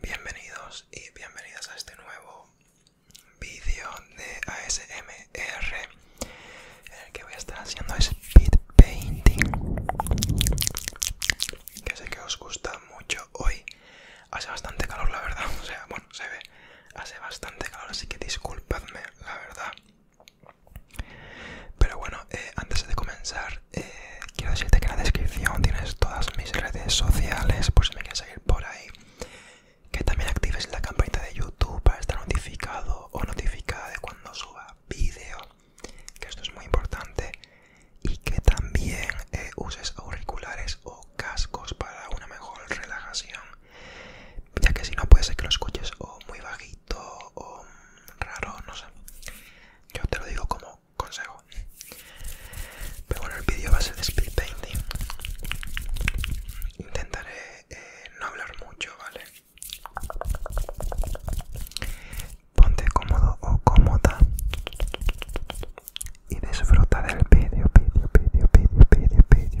Bienvenidos y bienvenidas a este nuevo vídeo de ASMR en el que voy a estar haciendo speed painting que sé que os gusta mucho hoy hace bastante calor la verdad o sea bueno se ve hace bastante calor así que disculpadme la verdad pero bueno eh, antes de comenzar eh, quiero decirte que en la descripción tienes todas mis redes sociales por si me quieres seguir por ahí. Que también actives la campanita de YouTube para estar notificado o notificada de cuando suba vídeo, que esto es muy importante. Y que también eh, uses auriculares o cascos para una mejor relajación. Ya que si no puede ser que lo escuches o muy bajito o raro, no sé. Yo te lo digo como consejo. Pero bueno, el vídeo va a ser de speed painting. Intentaré eh, no hablar mucho, ¿vale? Ponte cómodo o cómoda y disfruta del vídeo, vídeo, vídeo, vídeo, vídeo, vídeo.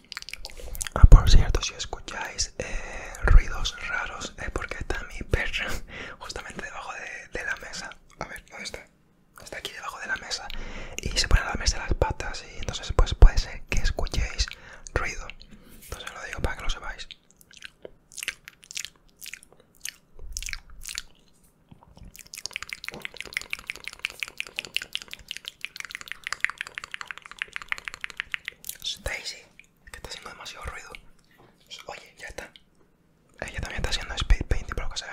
Ah, por cierto, si escucháis eh, ruidos raros es porque está mi perra justamente debajo de, la mesa. A ver, ¿dónde está? Está aquí debajo de la mesa y se pone a la mesa las patas y entonces pues puede ser que escuchéis ruido. Entonces lo digo para que lo sepáis. Stacy, que está haciendo demasiado ruido. Oye, ya está. Ella también está haciendo speed painting, lo que se ve.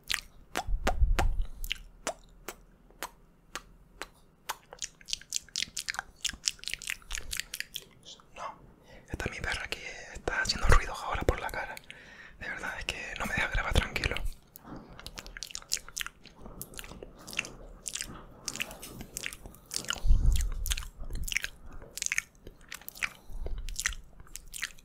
No, esta mi perra que está haciendo ruidos ahora por la cara. De verdad es que no me deja grabar tranquilo.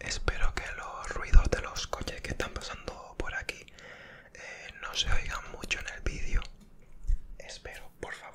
Espero que los ruidos de los coches que están pasando por aquí eh, no se oigan mucho en el vídeo. Espero, por favor.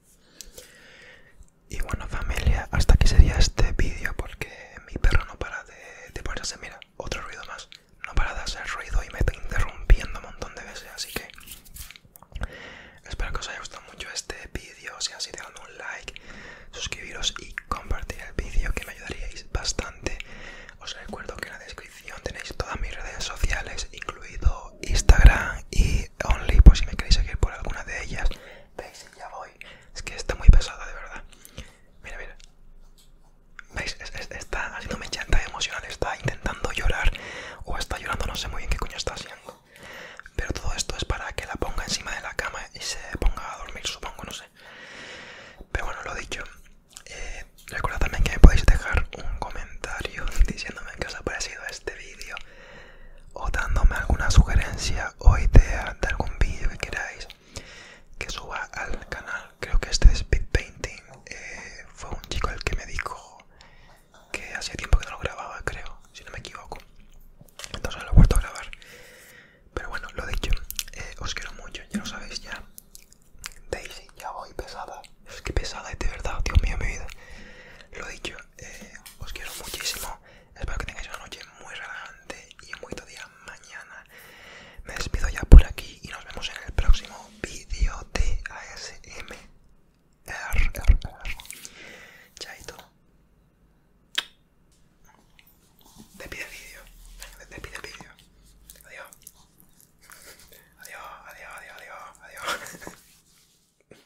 Y bueno familia, hasta aquí sería este vídeo porque mi perro no para de, ponerse, mira, otro ruido más, no para de hacer ruido y me está interrumpiendo un montón de veces, así que espero que os haya gustado mucho este vídeo, si así dejadme un like, suscribiros y compartir el vídeo que me ayudaríais bastante. Os recuerdo que en la descripción tenéis todas mis redes sociales, incluido Instagram y Only, por si me queréis seguir por alguna de ellas. ¿Veis? Ya voy. Es que está muy pesada, de verdad. Mira, mira. ¿Veis? Está está haciendo emocional. Está intentando llorar. O está llorando, no sé muy bien qué coño está haciendo. Pero todo esto es para que la ponga encima de la cama y se ponga a dormir, supongo, no sé. Pero bueno, lo dicho. Eh, recuerda también que me podéis dejar un comentario diciéndome qué os ha parecido este vídeo o dándome alguna sugerencia o idea de algún vídeo que queráis que suba al canal. Creo que este speed Painting. Eh, fue un chico el que me dijo que hacía tiempo que no lo grababa, creo, si no me equivoco. Entonces lo he vuelto a grabar. Pero bueno, lo dicho, eh, os quiero mucho, ya lo sabéis ya. Daisy, ya voy pesada. Es que pesada de verdad, Dios mío, mi vida. Lo dicho, eh, os quiero muchísimo. Espero que tengáis una noche muy relajante y un buen día mañana. Me despido ya por aquí y nos vemos en el próximo vídeo de ASM. Chaito. Te pide vídeo. Despide pide vídeo. Adiós, adiós, adiós, adiós. adiós.